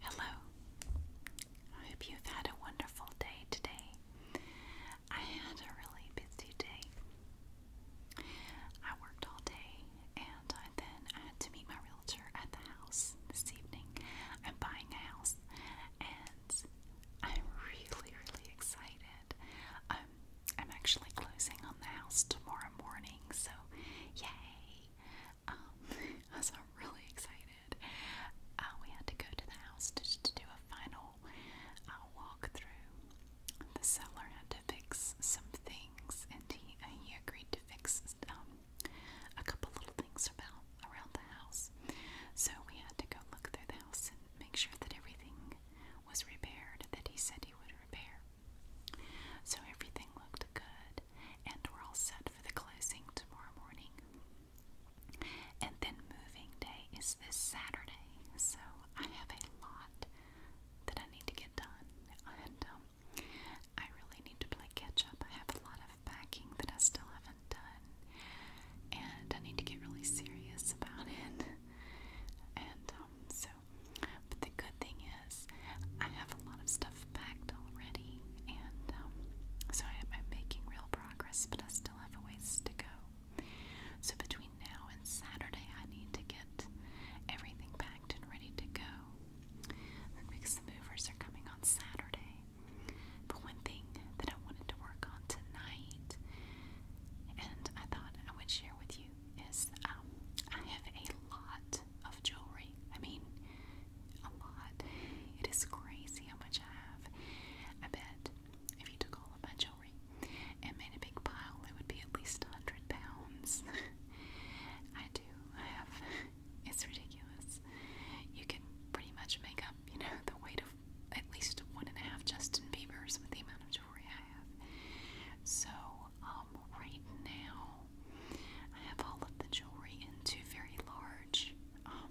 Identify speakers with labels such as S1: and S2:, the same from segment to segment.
S1: Hello. I hope you've had a wonderful day today. I had a really busy day. I worked all day and I then I had to meet my realtor at the house this evening. I'm buying a house and I'm really, really excited. Um, I'm actually closing on the house tomorrow morning, so yay! Um, I was really excited. Uh, we had to go to the house to, to do a final uh, walk through. The seller had to fix some things, and he uh, he agreed to fix um, a couple little things about around the house. So we had to go look through the house and make sure that everything was repaired that he said he would repair. So everything looked good, and we're all set for the closing tomorrow morning. And then moving day is this Saturday, so I have a lot that I need to get done, and um, I really need to play catch up. I have a lot of packing that I still haven't done, and I need to get really serious about it. And um, so but the good thing is, I have a lot of stuff packed already, and um, so I, I'm making real progress, but I still have a ways to go. So between now and Saturday, I need to get everything packed and ready to go. Because the movers are coming on Saturday. But one thing that I wanted to work on tonight, and I thought I would share with you, is um, I have a lot of jewelry I mean, a lot. It is crazy how much I have. I bet if you took all of jewelry and made a big pile, it would be at least 100 pounds. I do. I have. It's ridiculous. You can pretty much make up, you know, the weight of at least one and a half Justin Bieber's with the amount of jewelry I have. So, um, right now I have all of the jewelry in two very large um,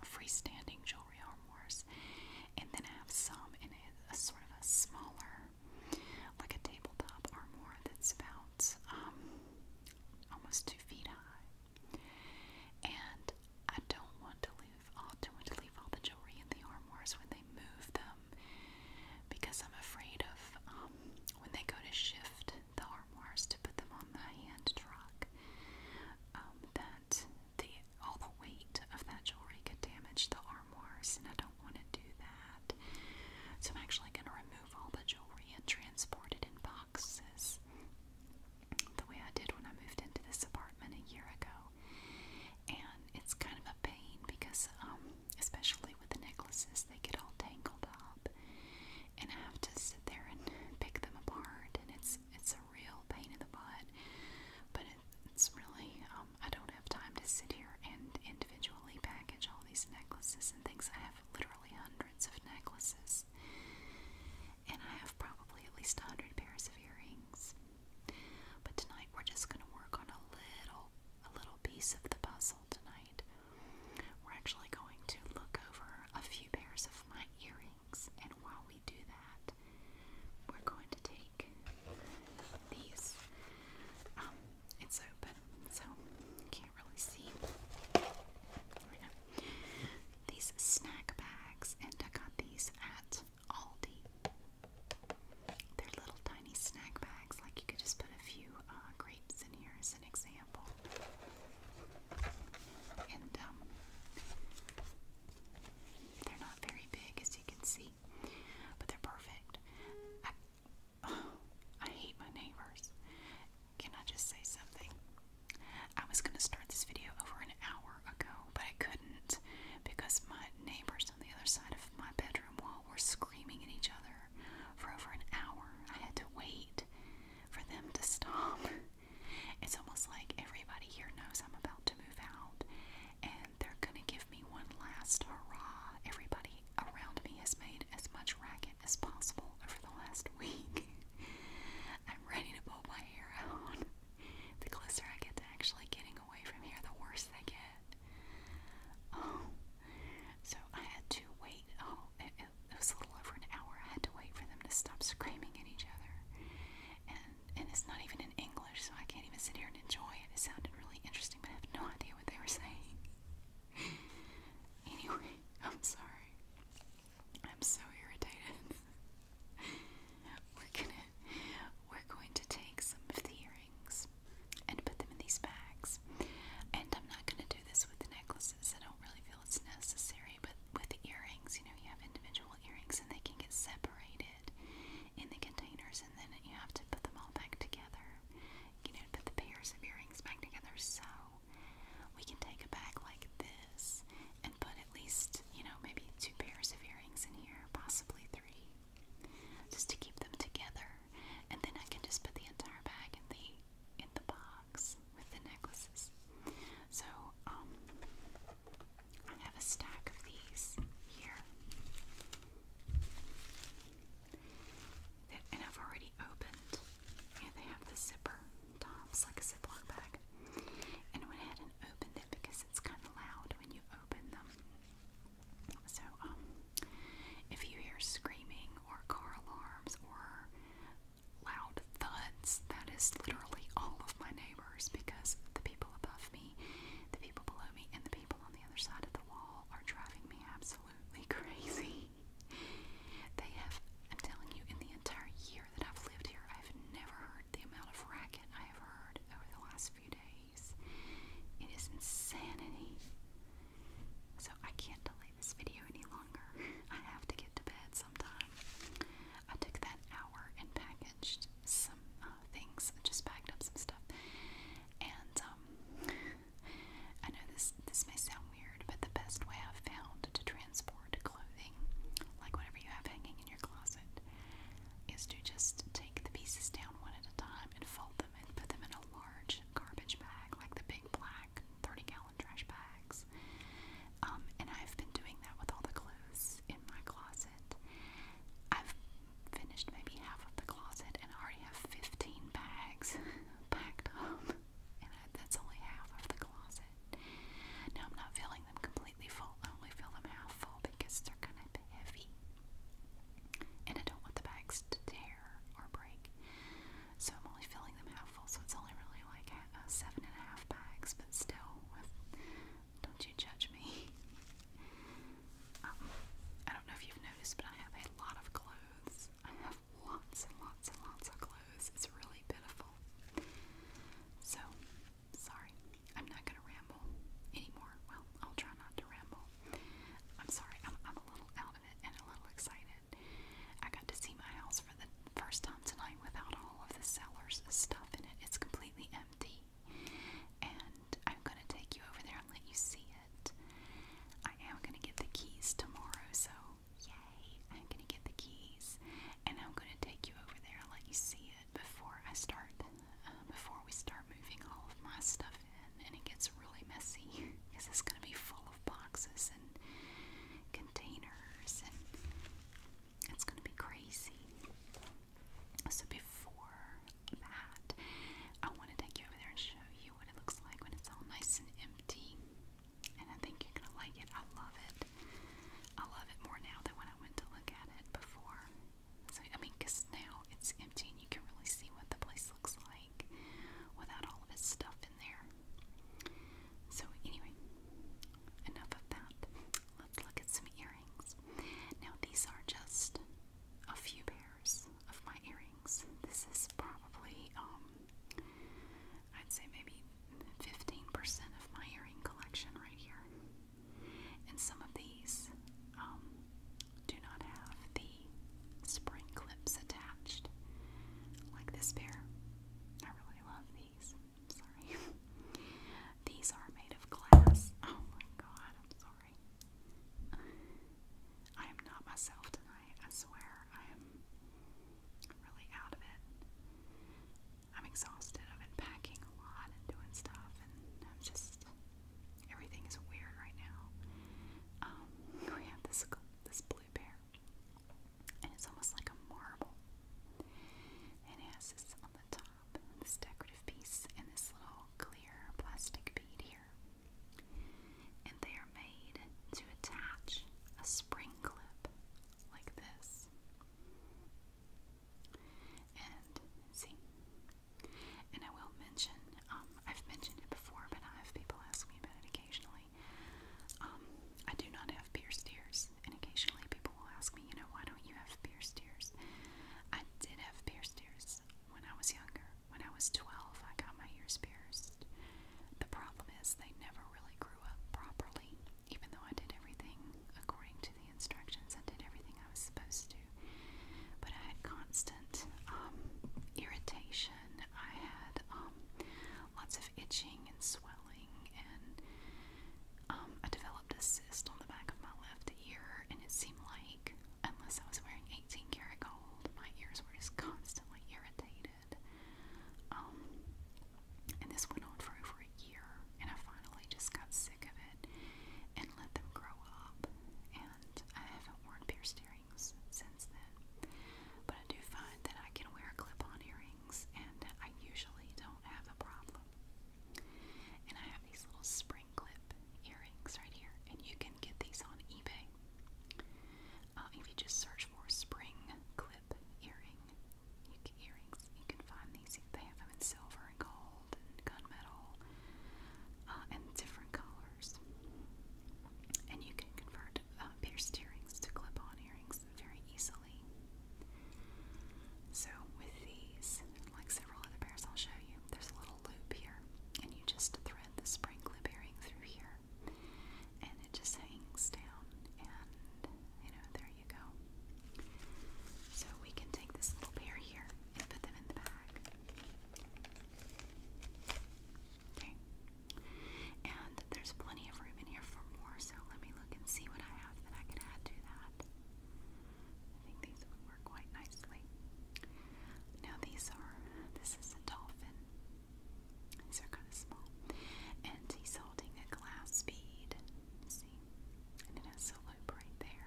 S1: freestanding jewelry armoires, and then I have some in a, a sort of a smaller, like a tabletop armoire that's about um, almost two feet high. And I don't want to leave. I don't want to leave all the jewelry in the armoires when they move them. Um, because I'm afraid of um, when they go to shift the armors to put them on the hand truck um, that the all the weight of that jewelry could damage the armors, and I don't want to do that. So I'm actually going to remove all the jewelry and transport it in boxes the way I did when I moved into this apartment a year ago. And it's kind of a pain because um, especially with the necklaces, they get all tangled up, and I have to sit there and pick them apart, and it's it's a real pain in the butt. But it's really um, I don't have time to sit here and individually package all these necklaces and things. I have literally hundreds of necklaces, and I have probably at least a hundred pairs of earrings. But tonight we're just gonna work on a little a little piece of the puzzle tonight. We're actually going to look over a few pairs of my earrings, and while we do that, we're going to take these. Um, it's open, so can't really see. These snack bags, and I got these at Aldi. They're little tiny snack bags, like you could just put a few uh, grapes in here as an example. And um, they're not very big as you can see, but they're perfect. I hate my neighbors. Can I just say something? I was going to start this video over an hour ago, but I couldn't because my neighbors on the other side of my bedroom wall were screaming at each other for over an hour. I had to wait for them to stop. It's almost like everybody here knows I'm about to move out and they're going to give me one last hurrah. Everybody around me has made as much racket as possible over the last week. I'm ready to pull my hair out. The closer I get to actually getting away from here, the worse they get. Oh, so I had to wait. Oh, it, was a little over an hour. I had to wait for them to stop screaming at each other. And and it's not even in English, so I can't even sit here and enjoy it. It sounded really interesting, but I have no idea what they were saying. anyway, I'm sorry. I'm so irritated. we're gonna we're going to take some of the earrings and put them in these bags. And I'm not going to do this with the necklaces. I don't really feel it's necessary, but with the earrings, you know, you have individual earrings and they can get separated in the containers, and then you have to put them all back together. You know, put the pairs of earrings back together. So we can take a bag like this and put at least, you know, maybe two pairs of earrings in here, possibly three, just to keep them together. And then I can just put the entire bag in the in the box with the necklaces. So, um, I have a stack of these here and I've already opened. Yeah, they have the zipper tops like a Ziploc bag. And went ahead and opened it because it's kind of loud when you open them. So, um, if you hear screaming or car alarms or loud thuds, that is literally all of my neighbors because the people above me, the people below me, and the people on the other side of the wall are driving me absolutely crazy. They have, I'm telling you, in the entire year that I've lived here, I've never heard the amount of racket I have heard over the last few days. It is insanity. So I can't delete this video any longer. I have to get to bed sometime. I took that hour and packaged some uh, things. I just packed up some stuff. And um, I know this this may sound weird, but the best way I've found to transport clothing, like whatever you have hanging in your closet, is to just take the pieces down one at a time and fold them and put them in a large garbage bag, like the big black 30 gallon trash bags. Um, and I've been doing that with all the clothes in my closet. I've finished maybe half of the closet and I already have 15 bags packed up. And that's only half of the closet. Now I'm not filling them completely full, I only fill them half full because they're kind of heavy. And I don't want the bags to tear or break. So I'm only filling them half full, so it's only really like seven and a half bags, but still, don't you judge me. Um, I don't know if you've noticed, but I have a lot of clothes. I have lots and lots and lots of clothes. It's really pitiful. So, sorry, I'm not gonna ramble anymore. Well, I'll try not to ramble. I'm sorry, I'm a little out of it and a little excited. I got to see my house for the first time tonight without all of the seller's stuff in it. It's completely empty. And I'm going to take you over there and let you see it. I am going to get the keys tomorrow, so yay! I'm going to get the keys and I'm going to take you over there and let you see it before I start, uh, before we start moving all of my stuff and, it gets really messy because it's going to be full of boxes and containers and it's going to be crazy. So before that, I want to take you over there and show you what it looks like when it's all nice and empty. And I think you're gonna like it. I love it. I love it more now than when I went to look at it before. So I mean, cause now it's empty and you can really see what the place looks like without all of its stuff there. So, anyway, enough of that. Let's look at some earrings. Now, these are just a few pairs of my earrings. This is probably, um, I'd say maybe 15% of my earring collection right here. And some of these um, do not have the spring clips attached, like this pair. I really love these. Sorry. these are made of glass. Oh my god, I'm sorry. I am not myself tonight, I swear. I am really out of it. I'm exhausted. I've been packing a lot and doing stuff, and I'm just. Everything is weird right now. Um, we have this, this and it's almost like a marble. And it has this on the top, this decorative piece, and this little clear plastic bead here. And they are made to attach a spring clip like this. And see, and I will mention, um, I've mentioned it before, but I have people ask me about it occasionally personally. Um, I do not have pierced ears, and occasionally people will ask me, you know, why don't you have pierced ears? I did have pierced ears when I was younger. When I was 12, I got my ears pierced. The problem is they never really grew up properly, even though I did everything according to the instructions. I did everything I was supposed to. But I had constant um, irritation I had um, lots of itching and swelling, and um, I developed a cyst on the back of my left ear, and it seemed like unless I was wearing 18 karat gold, my ears were just constantly irritated. Um, and this went on for over a year, and I finally just got sick of it and let them grow up. And I haven't worn piercings earrings since then. But I do find that I can wear clip-on earrings and I usually don't have a problem. And I have these little spring clip earrings right here, and you can get these on eBay. Uh, if you just search for spring clip earring you can, earrings, you can find these. They have them in silver and gold and gunmetal uh, and different colors. And you can convert uh, to clip on earrings very easily. So, with these, like several other pairs I'll show you, there's a little loop here, and you just thread the spring clip earring through here, and it just hangs down, and you know, there you go. So, we can take this little pair here and put them in the bag. Okay. And there's plenty of room in here for more, so let me look and see what I have that I can add to that. I think these work quite nicely. Now these are, this is a dolphin. These are kind of small. And he's holding a glass bead. See? And it has a loop right there.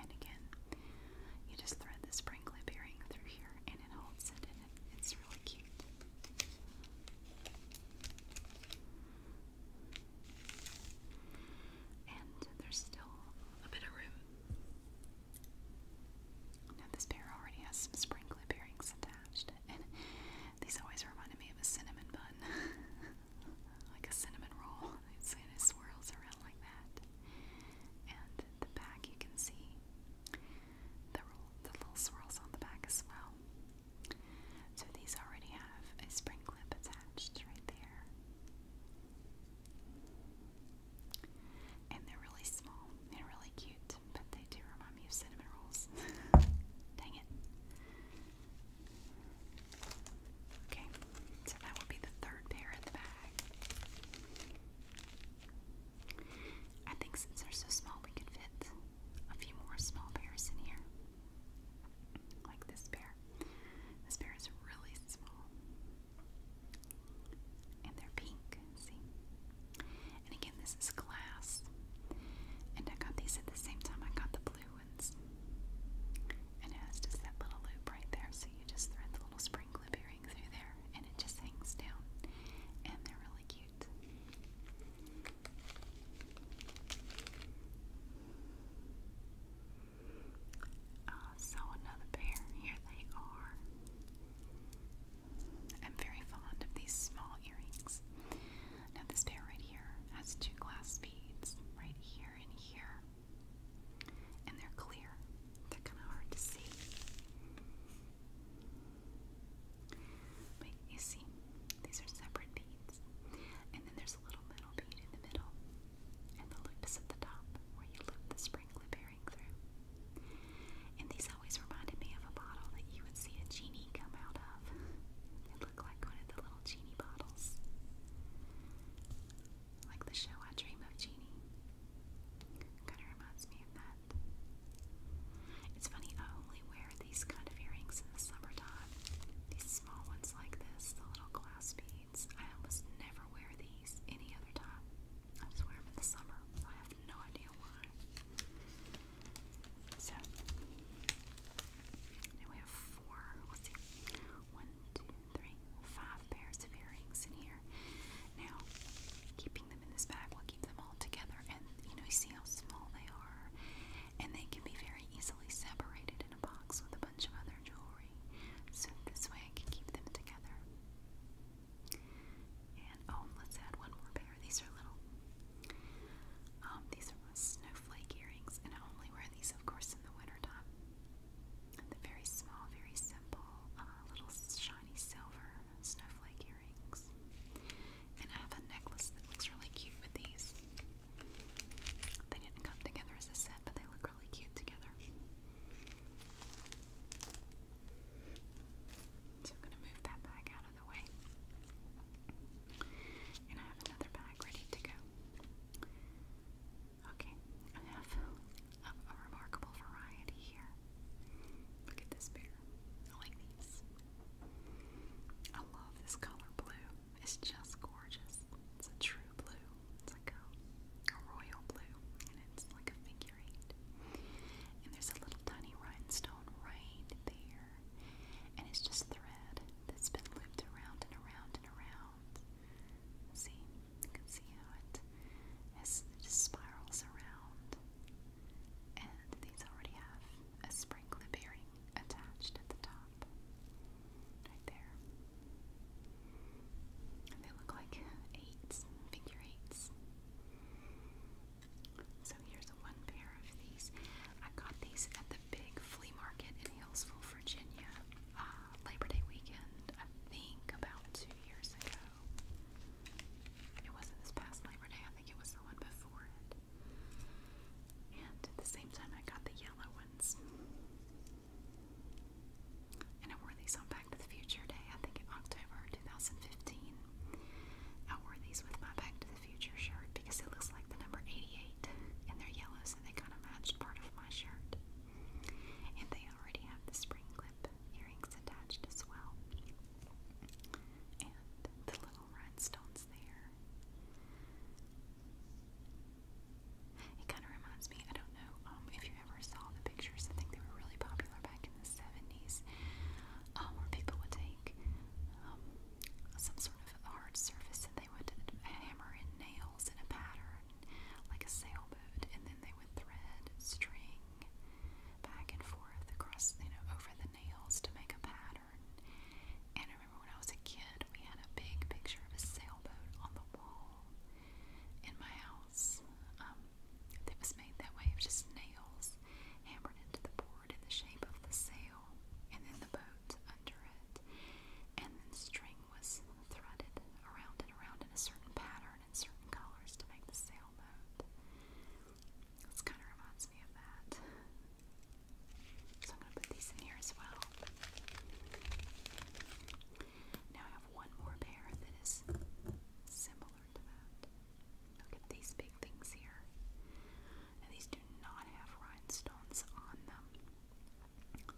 S1: And again, you just thread the sprinkly bearing through here and it holds it it's really cute. And there's still a bit of room. Now this pair already has some spring clip earrings attached, and these always reminded me of a cinnamon bun, like a cinnamon roll. It's, it swirls around like that, and the back you can see the, little swirls on the back as well. So these already have a spring clip attached right there. And they're really small. They're really cute, but they do remind me of cinnamon rolls. Dang it. Okay, so that will be the third pair in the bag. I think since they're so small, we can fit a few more small bears in here. Like this bear. This bear is really small. And they're pink, see? And again, this is glass. And I got these at the same time I got the blue ones. And it has just that little loop right there, so you just thread the little spring loop here through there and it just hangs down and they're really cute. Uh, another pair, here they are. I'm very fond of these small earrings. Now this pair right here has two glass beads right here and here. And they're clear. They're kind of hard to see. But you see, these are separate beads. And then there's a little metal bead in the middle. And the loops is at the top where you loop the sprinkler bearing through. And these always reminded me of a bottle that you would see a genie come out of. they look like one of the little genie bottles. Like the show I Dream of Genie. Kind of reminds me of that. It's funny, I only wear these kind of earrings in the summertime. These small ones like this, the little glass beads. I almost never wear these any other time. I just wear them in the summer. I have no idea why. So, now we have four, let's see, one, two, three, five pairs of earrings in here. Now, keeping them in this bag will keep them all together. And you know, you see how small they are, and they can be very easily separated in a box with a bunch of other jewelry. So this way, I can keep them together. And oh, let's add one more pair. These are little. Um, these are my snowflake earrings, and I only wear these, of course, in the wintertime. They're very small, very simple, uh, little shiny silver snowflake earrings. And I have a necklace that looks really cute with these. They didn't come together as a set, but they look really cute together. So I'm going to move that bag out of the way. And I have another bag ready to go. Okay, I have a remarkable variety here. Look at this pair. I like these. I love this color blue. It's just gorgeous. It's a true blue. It's like a, royal blue, and it's like a figure eight. And there's a little tiny rhinestone right there, and it's just thread that's been looped around and around and around. See, you can see how it, it spirals around. And these already have a sprinkler bearing attached at the top. Right there. They look like eights, figure eights. So here's one pair of these. I got these at the big flea market in Hillsville, Virginia, uh, Labor Day weekend, I think about two years ago. It wasn't this past Labor Day, I think it was the one before it. And at the same time, I got the yellow ones. And I wore these on Back to the Future Day, I think October 2015. I wore these with my Back to the Future shirt because it looks like the number 88 and they're yellow, so they kind of matched part of my shirt. And they already have the spring clip earrings attached as well and the little rhinestones there. It kind of reminds me, I don't know um, if you ever saw the pictures, I think they were really popular back in the 70s, um, where people would take um, some sort of hard surface and they would hammer in nails in a pattern, like a sailboat, and then they would thread string back and forth across, you know, over the nails to make a pattern. And I remember when I was a kid, we had a big picture of a sailboat on the wall in my house um, that was made that way. It was just nails hammered into the board in the shape of the sail, and then the boat under it. And then string was threaded around and around in a certain pattern in certain colors to make the sailboat. This kind of reminds me of that. So I'm going to put these in here as well. Now I have one more pair that is similar to that. Look at these big things here. And these do not have rhinestones on them.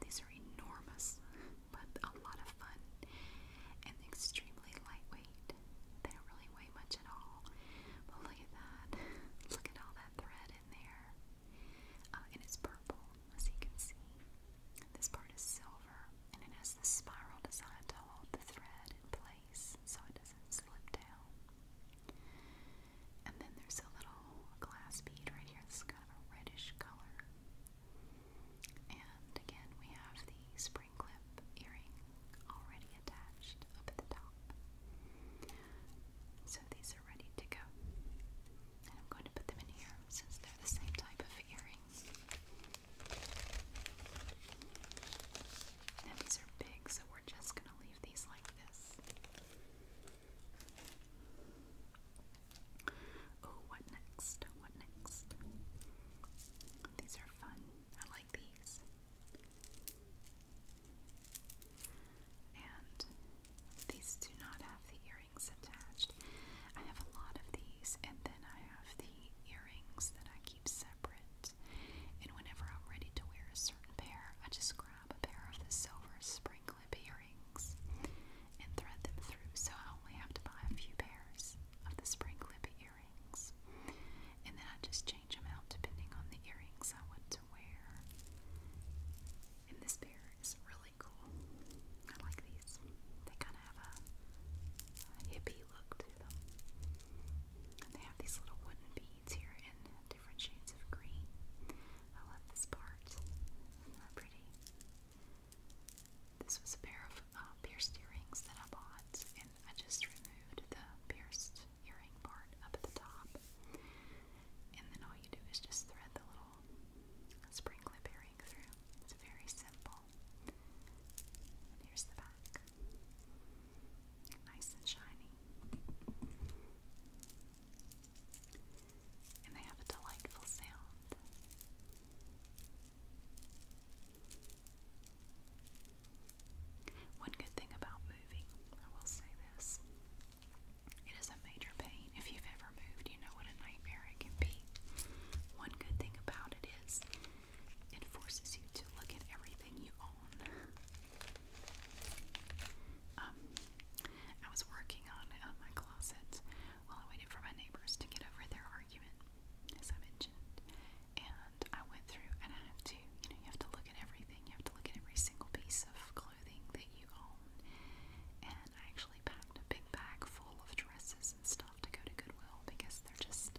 S1: These are enormous, but a lot of fun and extremely lightweight. They don't really weigh much at all. But look at that. Look at all that thread in there. Oh, and it's purple, as you can see. This part is silver, and it has the spiral design to hold the thread in place so it doesn't slip down. And then there's a little glass bead right here. This kind of a reddish color. And again, we have the spring clip earring already attached up at the top. So these are ready to go. I'm going to put them in here since they're the same type of earrings. Now these are big, so we're just going to leave these like this. Oh, what next? What next? These are fun I like these. And these do not have the earrings attached. I have a lot of these, and then I have the earrings that I keep separate. And whenever I'm ready to wear a certain pair, I just grab a pair of the silver spring earrings and thread them through. So I only have to buy a few pairs of the spring earrings earrings. And then I just change them out depending on the earrings I want to wear. And this pair is really cool. I like these. They kind of have a, hippie look to them. And they have these little wooden beads here in different shades of green. I love this part. they pretty. This was a pair of uh, pierced earrings that I bought, and I just removed the pierced earring part up at the top. And then all you do is just thread the little spring clip earring through. It's very simple. And here's the back. Nice and shiny. And they have a delightful sound. One good thing about moving, I will say this it is a major pain. If you've ever moved, you know what a nightmare it can be. One good thing about it is it forces you to look at everything you own. Um, I was working on uh, my closet while I waited for my neighbors to get over their argument, as I mentioned, and I went through and I have to, you know, you have to look at everything. You have to look at every single piece of clothing that you own. And I actually packed a big bag full of dresses and stuff to go to Goodwill because they're just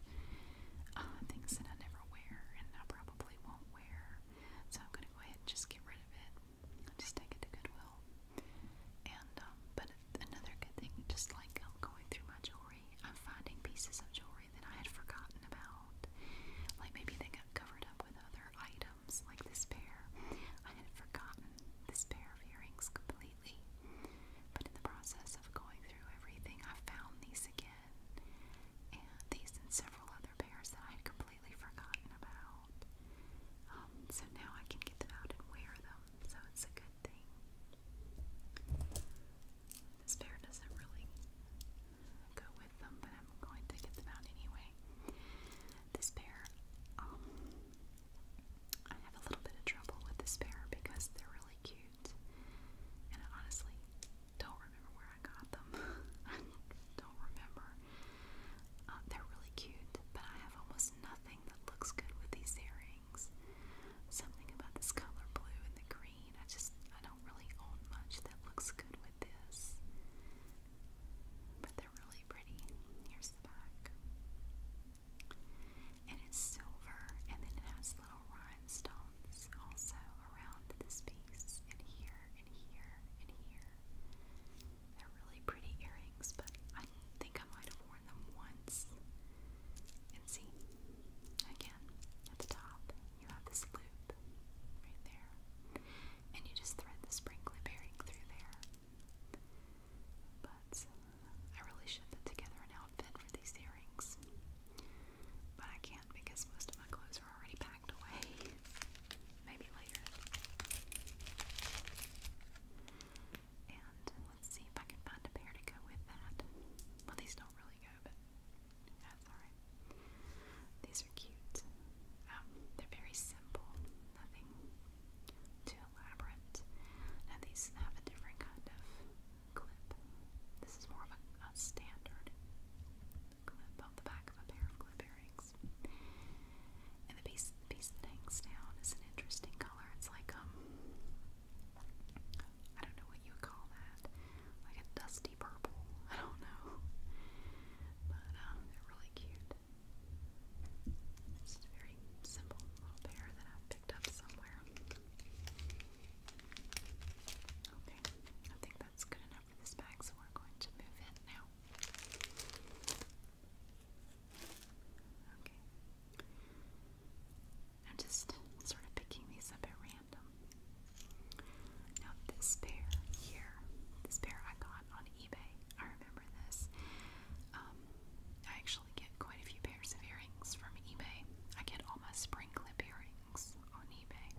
S1: uh, things that I never wear and I probably won't wear. So I'm gonna go ahead and just get rid of it. I'll just take it to Goodwill. And um, but another good thing, just like I'm going through my jewelry I'm finding pieces of jewelry that I had forgotten about. Like maybe they got covered up with other items, like this pair. I had forgotten this pair of earrings completely. But in the process of going through everything, I found these again. And these and several other pairs that I had completely forgotten about. Um, so now I can get them out and wear them. So it's a good thing. This pair doesn't really go with them, but I'm going to get them out anyway. This pair, um, I have a little bit of trouble with this pair because they're really cute, and honestly don't remember where I got them. don't remember. Uh, they're really cute, but I have almost nothing that looks good with these earrings. Something about this color blue and the green. I just, I don't really own much that looks good with this. But they're really pretty. Here's the back. it's silver, and then it has little rhinestones also around this piece, and here, and here, and here. They're really pretty earrings, but I think I might have worn them once. And see, Again, at the top, you have this loop right there. And you just thread the sprinkler bearing through there. But I really should put together an outfit for these earrings. But I can't because most of my clothes are already packed away. Maybe later. And let's see if I can find a pair to go with that. Well, these don't really these are cute. Um, they're very simple, nothing too elaborate. Now these have a different kind of clip. This is more of a, standard clip on the back of a pair of clip earrings. And the piece, that hangs down is an interesting color. It's like um, I don't know what you would call that. Like a dusty purple. I don't know. But um, they're really cute. It's a very simple little pair that I picked up somewhere. Okay, I think that's good enough for this bag, so we're going to move in now. Okay, I'm just sort of picking these up at random. Now this pair here, this pair I got on eBay. I remember this. Um, I actually get quite a few pairs of earrings from eBay. I get all my spring clip earrings on eBay.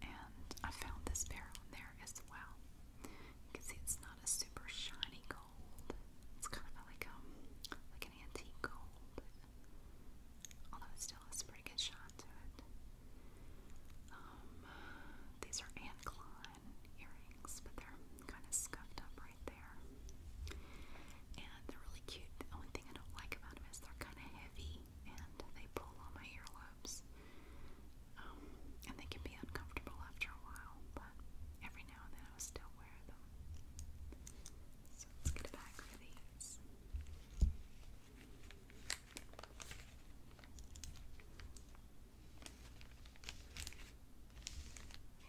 S1: And I found this pair on there as well. You can see it's not a super shiny gold. It's kind of like um like antique gold, although it still has a pretty good shine to it. Um, these are Anne earrings, but they're kind of scuffed up right there. And they're really cute. The only thing I don't like about them is they're kind of heavy and they pull on my earlobes. Um, and they can be uncomfortable after a while, but every now and then I will still wear them let's get a bag for these. There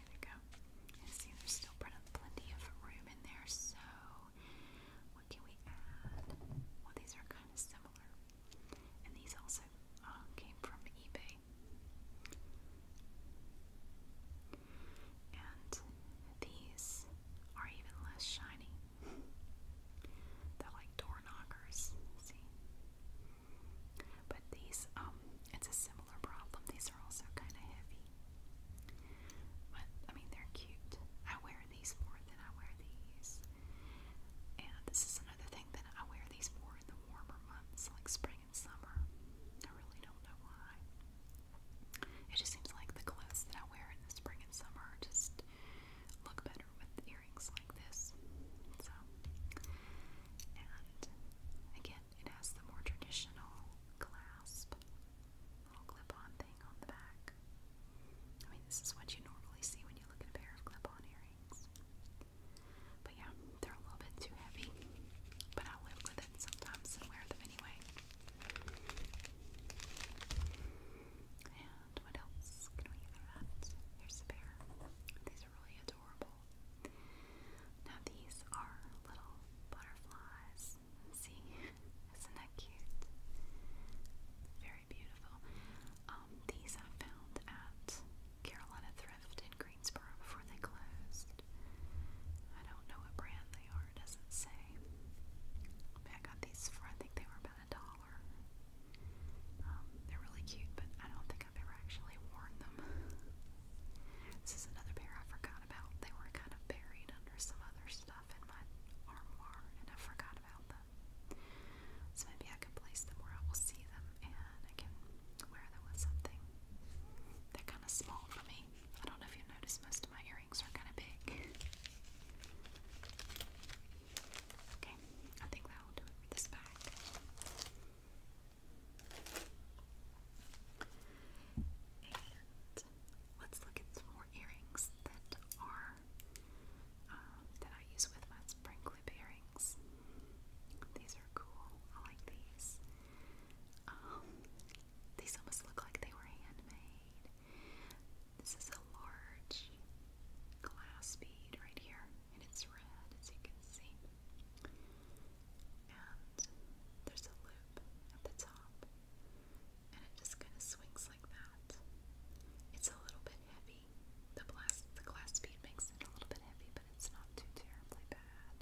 S1: we go. see, there's still plenty of room in there, so what can we add? Well, these are kind of similar. And these also uh, came from eBay and these are even less shiny. They're like door knockers, see? But these, um, it's a similar problem. These are also kind of heavy. But, I mean, they're cute. I wear these more than I wear these. And this is another thing that I wear these more in the warmer months, like spring summer. I really don't know why. It just seems like the clothes that I wear in the spring and summer just look better with earrings like this. So, and again, it has the more traditional clasp, little clip-on thing on the back. I mean, this is what you normally see when you look at a pair of clip-on earrings. But yeah, they're a little bit too heavy. But I live with them sometimes and wear them anyway. And what else can we get from that? Here's a pair. These are really adorable. Now these are little butterflies. See, isn't that cute? Very beautiful. Um, these I found at Carolina Thrift in before they closed. I don't know what brand they are, it doesn't say. I got these for, I think they were about a dollar. Um, they're really cute, but I don't think I've ever actually worn them. This is another pair I forgot about. They were kind of buried under some other stuff in my armoire, and I forgot about them. So maybe I can place them where I will see them, and I can wear them with something. They're kind of small for me. I don't know if you noticed, most of my earrings are kind of big. Okay, I think that will do it for this bag. let's look at some more earrings that are um, that I use with my spring clip earrings. These are cool. I like these. Um, these almost look like they were handmade. This is a large glass bead right here, and it's red as you can see. And there's a loop at the top, and it just kind of swings like that. It's a little bit heavy. The glass, the glass bead makes it a little bit heavy, but it's not too terribly bad.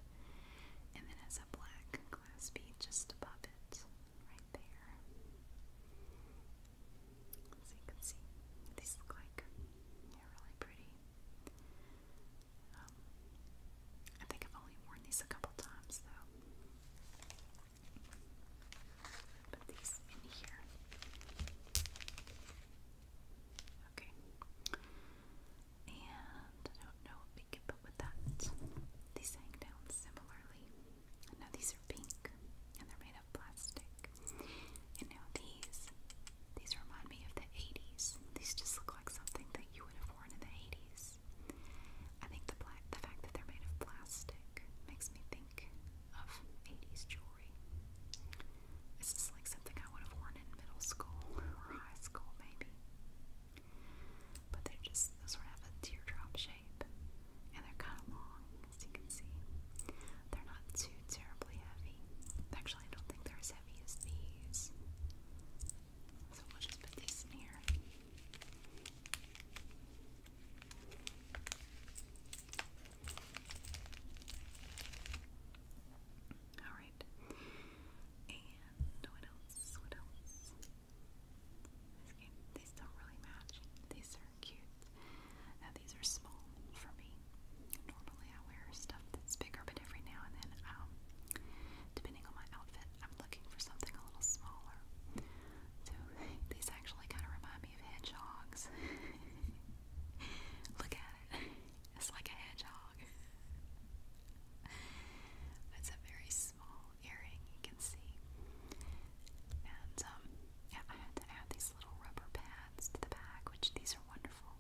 S1: And then it's a black glass just above it, right there. So you can see, these look like they're really pretty. Um, I think I've only worn these a couple times though. Put these in here. Okay. And I don't know what we could put with that. These hang down similarly. And now these are pink and they're made of plastic. And now these, these remind me of the 80s. These just look like something that you would have worn in the 80s. I think the, black, the fact that they're made of plastic makes me think of 80s jewelry. This is like something I would have worn in middle school or high school, maybe. But they're just sort of a teardrop shape. And they're kind of long, as you can see. They're not too terribly heavy. Actually, I don't think they're as heavy as these. So we'll just put these in here. Alright. And what else? What else? these don't really match. These are cute. Now these are small for me. Normally I wear stuff that's bigger, but every now and then, um, depending on my outfit, I'm looking for something a little smaller. So these actually kind of remind me of hedgehogs. Look at it. It's like a hedgehog it's a very small earring, you can see. And um, yeah, I had to add these little rubber pads to the back, which these are wonderful.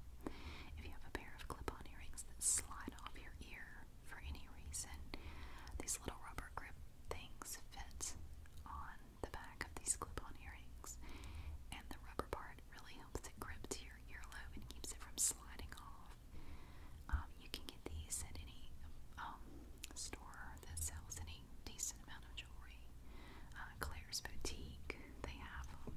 S1: If you have a pair of clip-on earrings that slide off your ear for any reason, these little rubber grip things fit on the back of these clip-on earrings, and the rubber part really helps it grip to your earlobe and keeps it from sliding off. Um, you can get these at any um, store that sells any decent amount of jewelry. Uh, Claire's Boutique, they have um,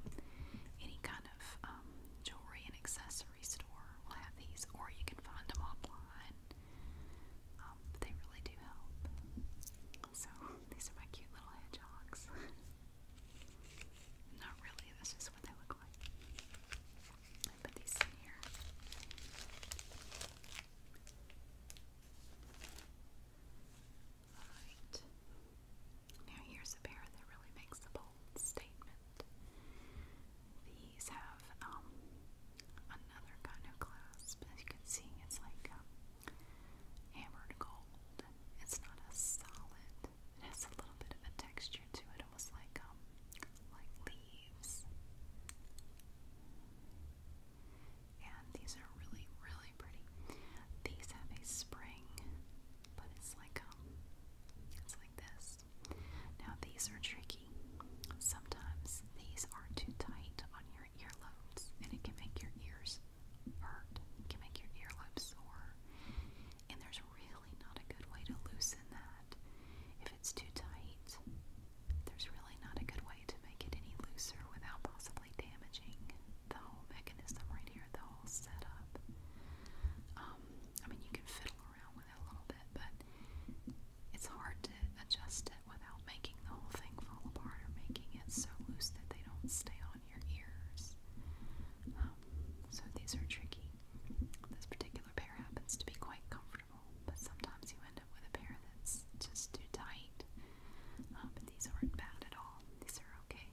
S1: any kind of um, jewelry and accessory store will have these, or you can find them online. Um, they really do help. So, these are my cute little hedgehogs. Not really, this is what they look like. I put these in here. Alright. Now here's a pair that really makes the bold statement. These have um another kind of clasp. As you can see, it's like um, hammered gold. It's not a solid it has a little bit of a texture to it, almost like um, like leaves. And these are really, really pretty. These have a spring, but it's like um, it's like this. Now these are tricky. Sometimes these are too tight on your earlobes, and it can make your ears hurt. It can make your earlobes sore. And there's really not a good way to loosen that. If it's too tight, there's really not a good way to make it any looser without possibly damaging the whole mechanism right here, the whole setup. Um, I mean, you can fiddle around with it a little bit, but it's hard to adjust it without making the whole thing fall apart or making it so loose that they don't stay on your ears. Um, so these are tricky. This particular pair happens to be quite comfortable, but sometimes you end up with a pair that's just too tight. Uh, but these aren't bad at all. These are okay.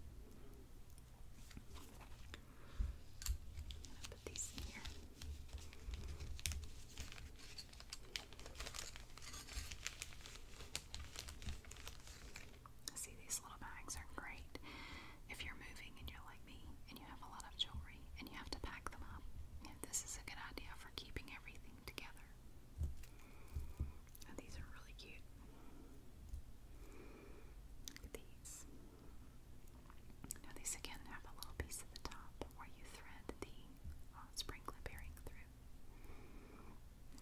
S1: put these in here. See, these little bags are great if you're moving and you're like me and you have a lot of jewelry and you have to pack them up, you this is a good idea for keeping everything together. these are really cute. Look at these. Now these again have a little piece at the top where you thread the uh, sprinkler through.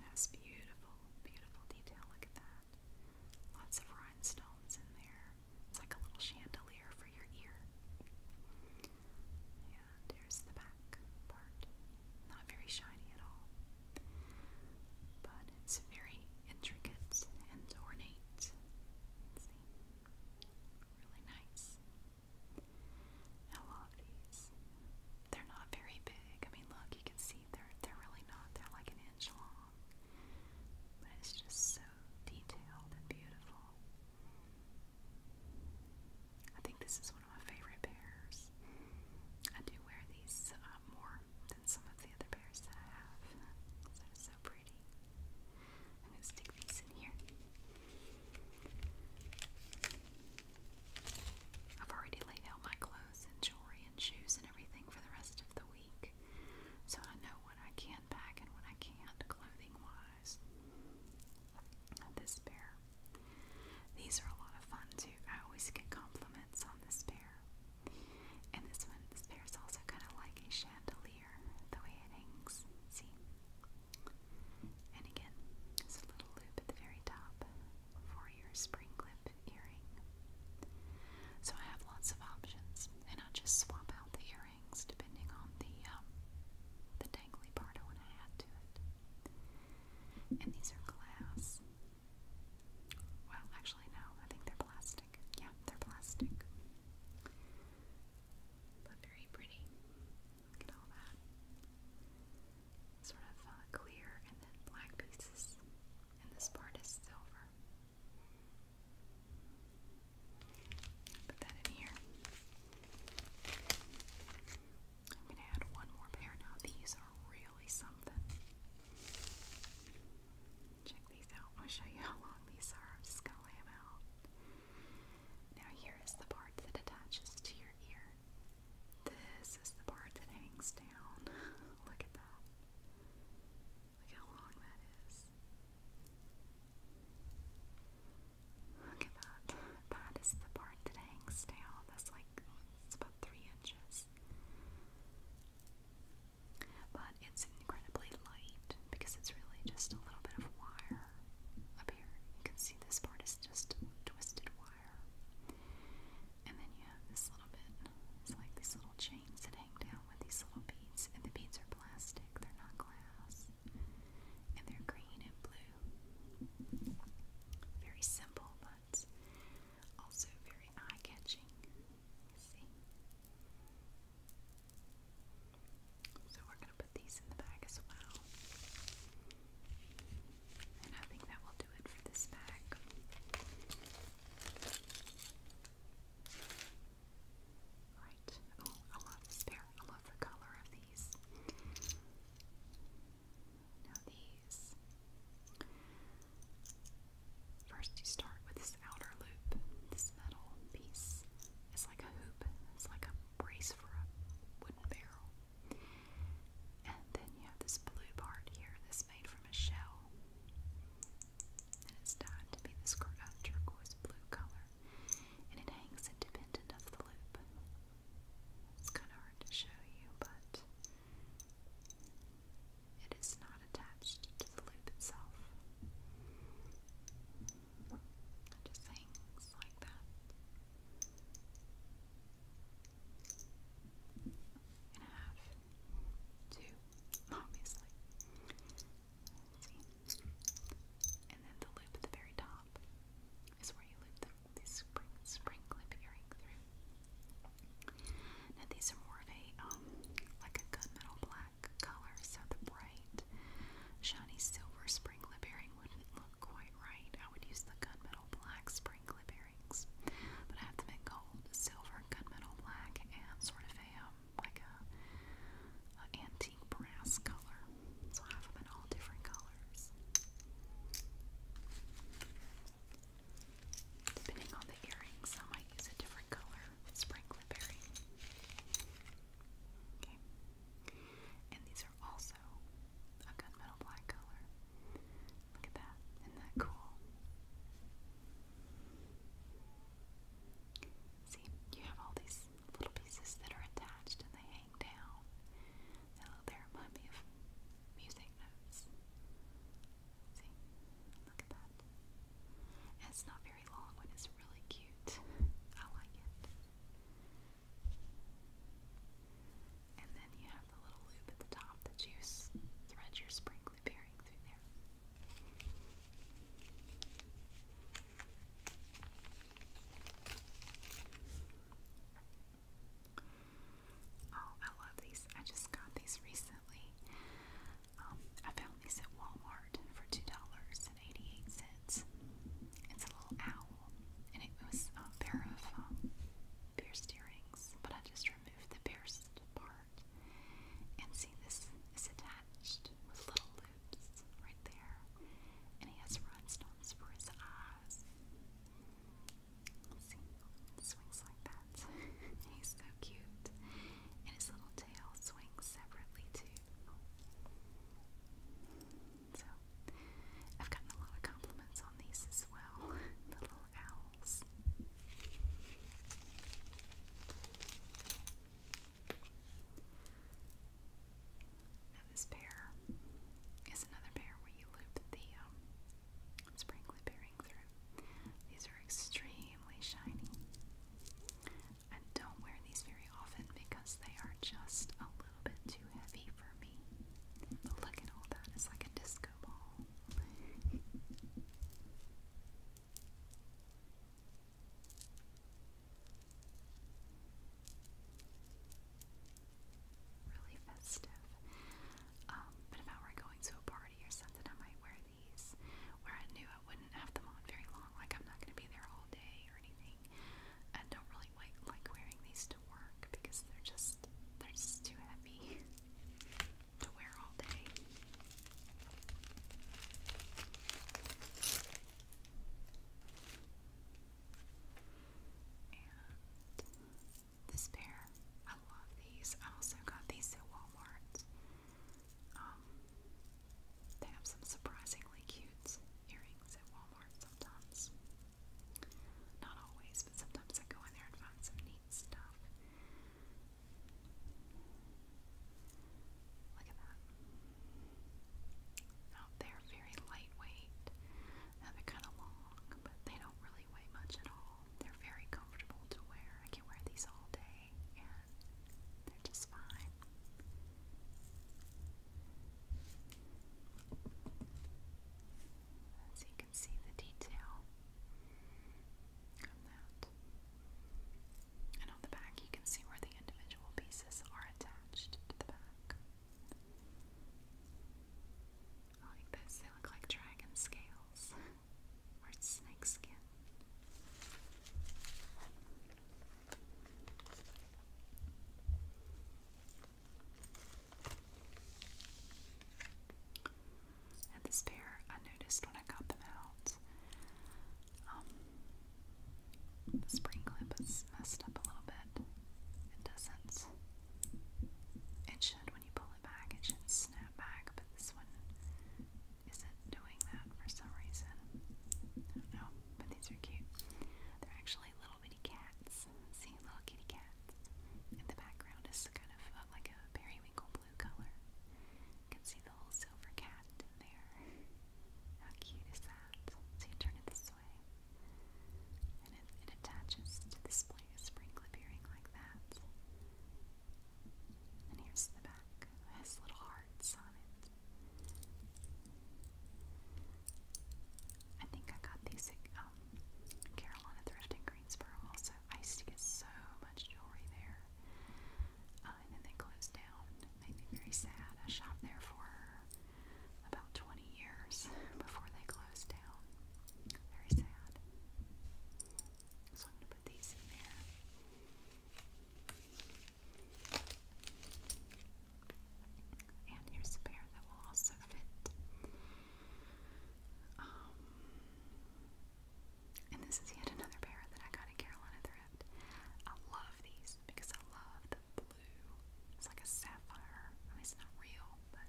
S1: That's beautiful, beautiful detail. Look at that. Lots of rhinestones in there. It's like a little chandelier for your ear. And here's the back part. Not very shiny at all. But it's very intricate and ornate. Really nice. I love these. They're not very big. I mean look, you can see they're they're really not. They're like an inch long. But it's just so detailed and beautiful. I think this is one of my favorite pairs. I do wear these uh, more than some of the other pairs that I have. So it's so pretty. I'm going to stick these in here. I've already laid out my clothes and jewelry and shoes and everything for the rest of the week. So I know what I can pack and what I can't, clothing wise. This pair. These are a lot of fun too. I always get compliments on this pair. And this one, this pair is also kind of like a chandelier, the way it hangs. See? And again, there's a little loop at the very top for your spring clip earring. So I have lots of options, and I'll just swap out the earring earrings depending on the um, the dangly part I want to add to it. And these are glass. Well, actually, no. I think they're plastic. Yeah, they're plastic. But very pretty. Look at all that. Sort of uh, clear and then black pieces. And this part is silver. Put that in here. I'm gonna add one more pair now. These are really something. Check these out. I'll show you how long these are. just gonna lay them out. Now here is the part that attaches to your ear. This is the part that hangs down. Look at that. Look how long that is. Look at that. That is the part that hangs down. That's like, it's about three inches. But it's incredibly light because it's really just a little bit of wire up here. You can see this part is just twisted wire. And then you have this little bit, it's like these little chains that hang down with these little beads. And the beads are they're plastic, they're not glass. And they're green and blue. Very simple, but also very eye catching. See? So we're going to put these in the bag as well. And I think that will do it for this bag. Right. Oh, I love this pair. I love the color of these. Now these. First you start with this outer loop, this metal piece. It's like a hoop. It's like a brace for a wooden barrel. And then you have this blue part here that's made from a shell and it's dyed to be this turquoise blue color, and it hangs independent of the loop. It's kind of hard to show you, but it is not attached to the loop itself. just hangs like that. And I have two, obviously. And then the loop at the very top is where you loop the, spring, clip earring through. Now these are more of a, um, like a gunmetal black color, so the bright, shiny silver spring clip earring wouldn't look quite right. I would use the gunmetal black spring clip earrings, but I have them in gold, silver, gunmetal black, and sort of a, um, like a, antique brass color. So I have them in all different colors. Depending on the earrings, I use a different color with Okay. And these are also a gunmetal black color. Look at that. Isn't that cool? See, you have all these little pieces that are attached and they hang down. Now they remind me of music notes. See, look at that. it's not very long, but it's really cute. I like it. And then you have the little loop at the top that you thread your sprinkler bearing through there. Oh, I love these. I just got these recently. Um, I found these at Walmart for two dollars and eighty-eight cents. It's a little owl, and it was a pair of um, pierced earrings, but I just removed the pierced part. And see, this is attached with little right there. And he has rhinestones for his eyes. swings like that. He's so cute. And his little tail swings separately too. So, I've gotten a lot of compliments on these as well. little owls this pair is another pair where you loop the um, bearing through. These are extremely shiny. I don't wear these very often because they are just a little bit too heavy for me. But look at all that, it's like a disco ball. Really festive. Um, but if I were going to a party or something, I might wear these where I knew I wouldn't have them on very long. Like, I'm not going to be there all day or anything. I don't really like, like wearing these to work because they're just, they're just too heavy to wear all day this pair, I love these. I also got these at Walmart. Um, they have some surprisingly cute earrings at Walmart sometimes. Not always, but sometimes I go in there and find some neat stuff. Look at that. Now they very lightweight. Now they're kind of long, but they don't really weigh much at all. They're very comfortable to wear. I can wear these all day, and they're just fine. As you can see the detail on that. And on the back, you can see where the individual pieces are attached to the back. I like this, they look like dragon scales or snake And this pair, I noticed when I cut them out, um, the spring clip is messed up a little bit. It doesn't. It should when you pull it back. It should snap back, but this one isn't doing that for some reason. I but these are cute. They're actually little bitty cats. See, little kitty cats. And the background is kind of uh, like a periwinkle blue color. You can see the little silver cat in there. How cute is that? So you turn it this way, and it, attaches to the spring, spring clip earring like that. And here's the back. has little hearts on it. I think I got these at um, Carolina Thrift in Greensboro also. I used to get so much jewelry there. Uh, and then they closed down. made me very sad. I shopped there for about 20 years before they closed down. Very sad. So I'm going to put these in there. And here's a pair that will also fit. Um, and this is yet another pair that I got in Carolina Thrift. I love these because I love the blue. It's like a sapphire. I mean, it's not real, but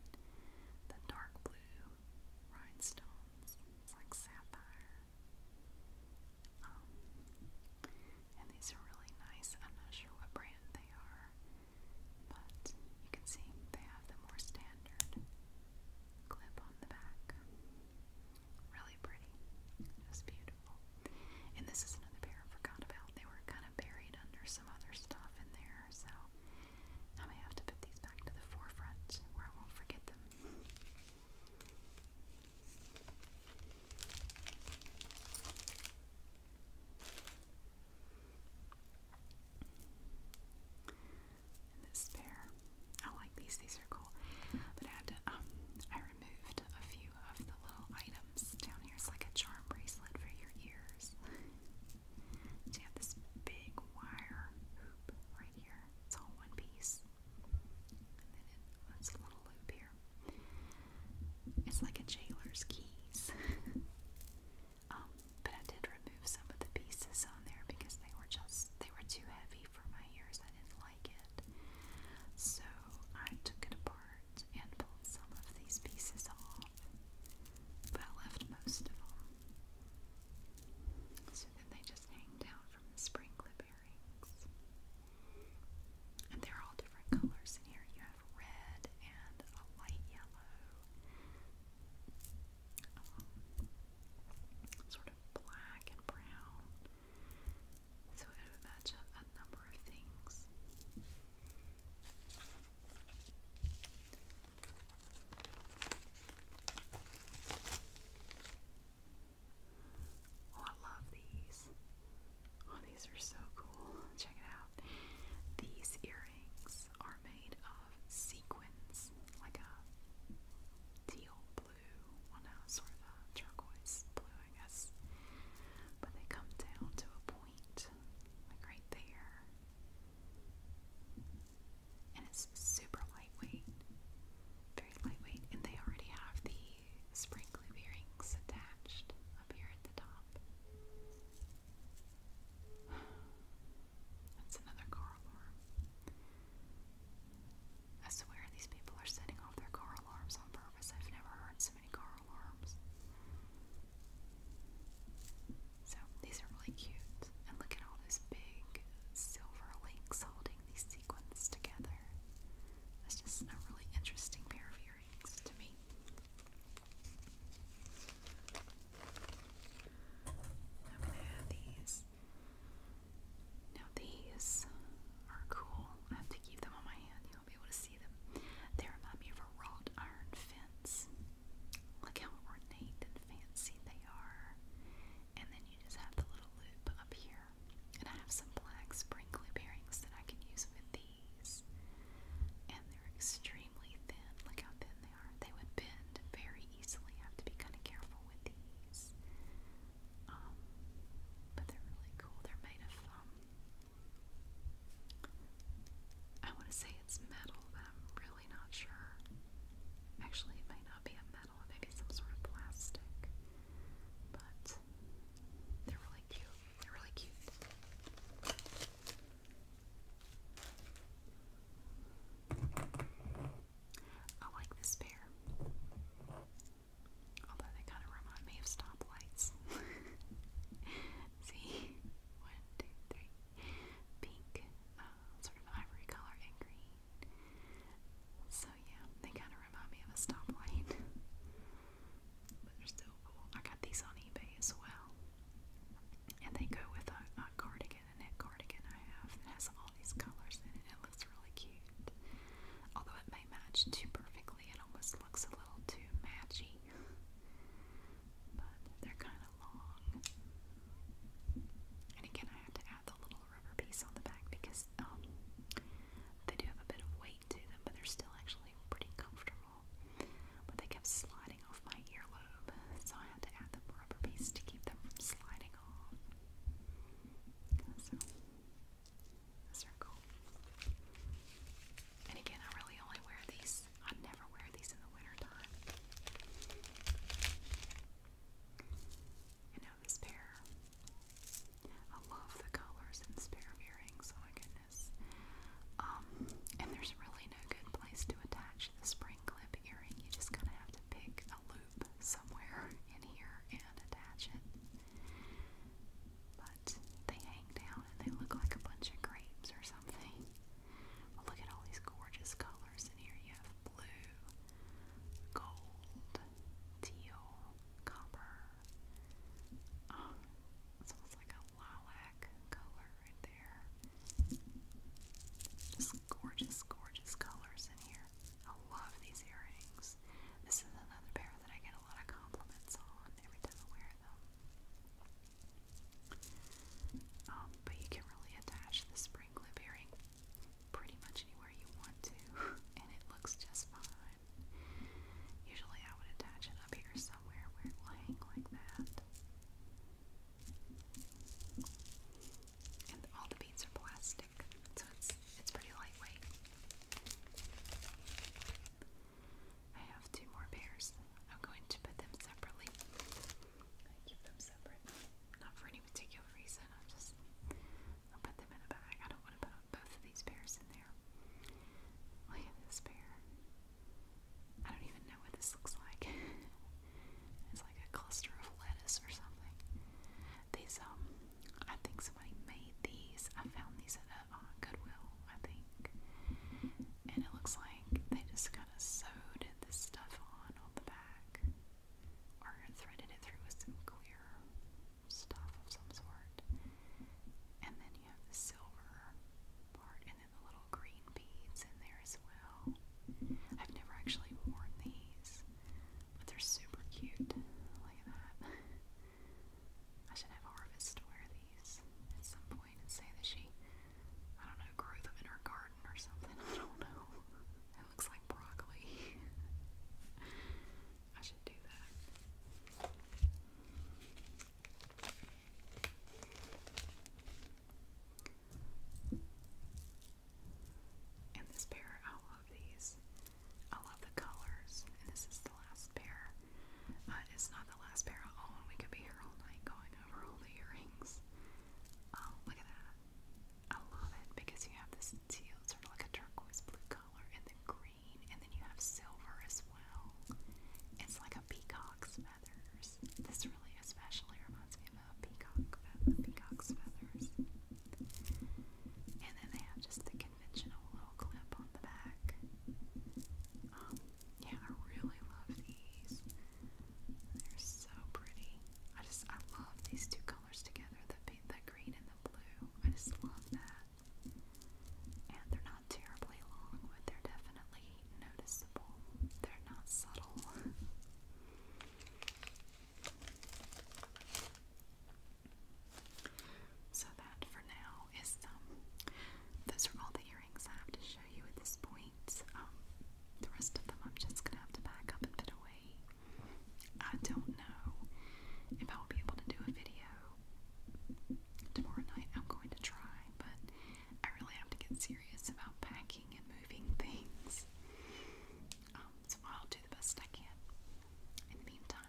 S1: the dark blue rhinestones. It's like sapphire. Um, and these are really nice. I'm not sure what brand they are, but you can see they have the more standard clip on the back. Really pretty. It beautiful. And this is another pair I forgot about. They were kind of buried under some other stuff in there, so I may have to put these back to the forefront where I won't forget them. this pair, I like these. These are cool, but I had to. Um, removed a few of the little items. Down here is like a charm bracelet for your ears. You have this big wire hoop right here. It's all one piece. then it, it's a little loop here. It's like a jailer's keys. Um, but I did remove some of the pieces on there because they were just they were too heavy for my ears. I didn't like it. So I took it apart and pulled some of these pieces off, but I left most of them. So then they just hang down from the spring clip earrings. And they're all different colors in here. You have red and a light yellow, um, sort of black and brown, so it will match up a number of things. Oh, I love these. Oh, these are so cool. Check it out. These earrings are made of sequins, like a teal blue blue, well now sort of uh, turquoise blue, I guess. But they come down to a point, like right there. And it's super lightweight, very lightweight, and they already have the spring earrings attached up here at the top. That's another coral arm. I swear these people are setting off their car alarms on purpose. I've never heard so many car alarms. So these are really cute. And look at all those big silver links holding these sequins together. That's just a really interesting pair of earrings to me. I'm gonna have these now these are cool. I have to keep them on my hand. You won't be able to see them. They remind me of a wrought iron fence. Look how ornate and fancy they are. And then you just have the little loop up here. And I have some black sprinkly bearings that I can use with these. And they're extremely thin. Look how thin they are. They would bend very easily. I have to be kind of careful with these. Um, but they're really cool. They're made of, um, I want to say it's metal, but I'm really not sure. Actually, it may not be a metal, it may be some sort of plastic. But they're really cute. They're really cute. I like this pair. Although they kind of remind me of stoplights. See? One, two, three. Pink, uh, sort of ivory color, and green. So, yeah, they kind of remind me of a stoplight. but they're still cool. I got these on eBay as well. And they go with a, cardigan, a net cardigan I have that has all these colors in It looks really cute. Although it may match too perfectly it almost looks a little too matchy, but they're kind of long. And again, I had to add the little rubber piece on the back because um, they do have a bit of weight to them, but they're still actually pretty comfortable. But they kept sliding off my earlobe, so I had to add the rubber piece to keep them from sliding off circle. And again, I really only wear these, I never wear these in the wintertime. And now this pair. I love the colors in this pair of earrings, oh my goodness. Um, and there's really no good place to attach the spring clip earring. You just kind of have to pick a loop somewhere in here and attach it. But they hang down and they look like a bunch of grapes or something. look at all these gorgeous colors in here. You have blue, gold, teal, copper. Oh, it's almost like a lilac color right there. Just gorgeous, gorgeous colors in here. I love these earrings. This is another pair that I get a lot of compliments on every time I wear them. Um, but you can really attach the spring earring pretty much anywhere you want to, and it looks just fine. Usually I would attach it up here somewhere where it will hang like that. And all the beads are plastic, so it's it's pretty lightweight. I have two more pairs. I'm going to put them separately. I keep them separate. Not for any particular reason. i am just I'll put them in a bag. I don't want to put both of these pairs in there. Look this pair. I don't even know what this looks like. it's like a cluster of lettuce or something. These um, I think somebody made these. I found these at a uh, Goodwill, I think, and it looks like they just kind of sewed this stuff on on the back, or threaded it through with some clear stuff of some sort, and then you have the silver part, and then the little green beads in there as well. I've never actually worn these, but they're super cute. Look at that. I should have Harvest wear these at some point and say that she, I don't know, grew them in her garden or something. I don't know. It looks like broccoli. I should do that. And this pair, I love these. I love the colors, and this is the last pair. Uh, it's not the last pair I own. We could be here all night going over all the earrings. Oh, look at that. I love it because you have this teal, sort of like a turquoise blue color, and then green, and then you have silver as well. It's like a peacock's feathers. This really especially reminds me of a peacock, fe peacock's feathers. And then they have just the conventional little clip on the back. Um, yeah, I really love these. They're so pretty. I just, I love these two colors together, the, the green and the blue. I just love that. And they're not terribly long, but they're definitely noticeable. They're not subtle. So that for now is um, those are all the earrings I have to show you at this point. Um, the rest of them I'm just gonna have to pack up and put away. I don't know if I'll be able to do a video tomorrow night. I'm going to try, but I really have to get serious about packing and moving things. Um, so I'll do the best I can. In the meantime,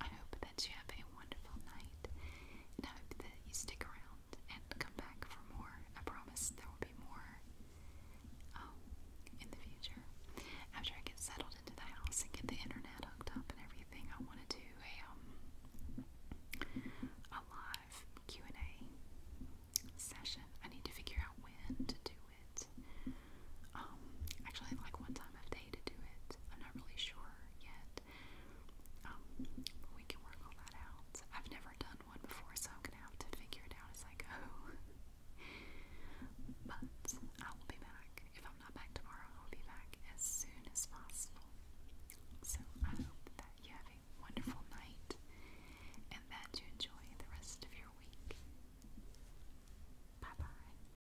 S1: I hope that you have a wonderful night, and I hope that you stick around and come back for more. I promise there will be more um, in the future. After I get settled into the house and get the internet hooked up and everything, I want to do a um a live Q and A session. I need to figure out when to do it. Um, actually, like what time of day to do it. I'm not really sure yet. Um, we can work all that out. I've never done one before, so I'm gonna have to figure it out as I go. but I will be back. If I'm not back tomorrow, I'll be back as soon as possible. So I hope that you have a wonderful night and that you enjoy the rest of your week. Bye bye.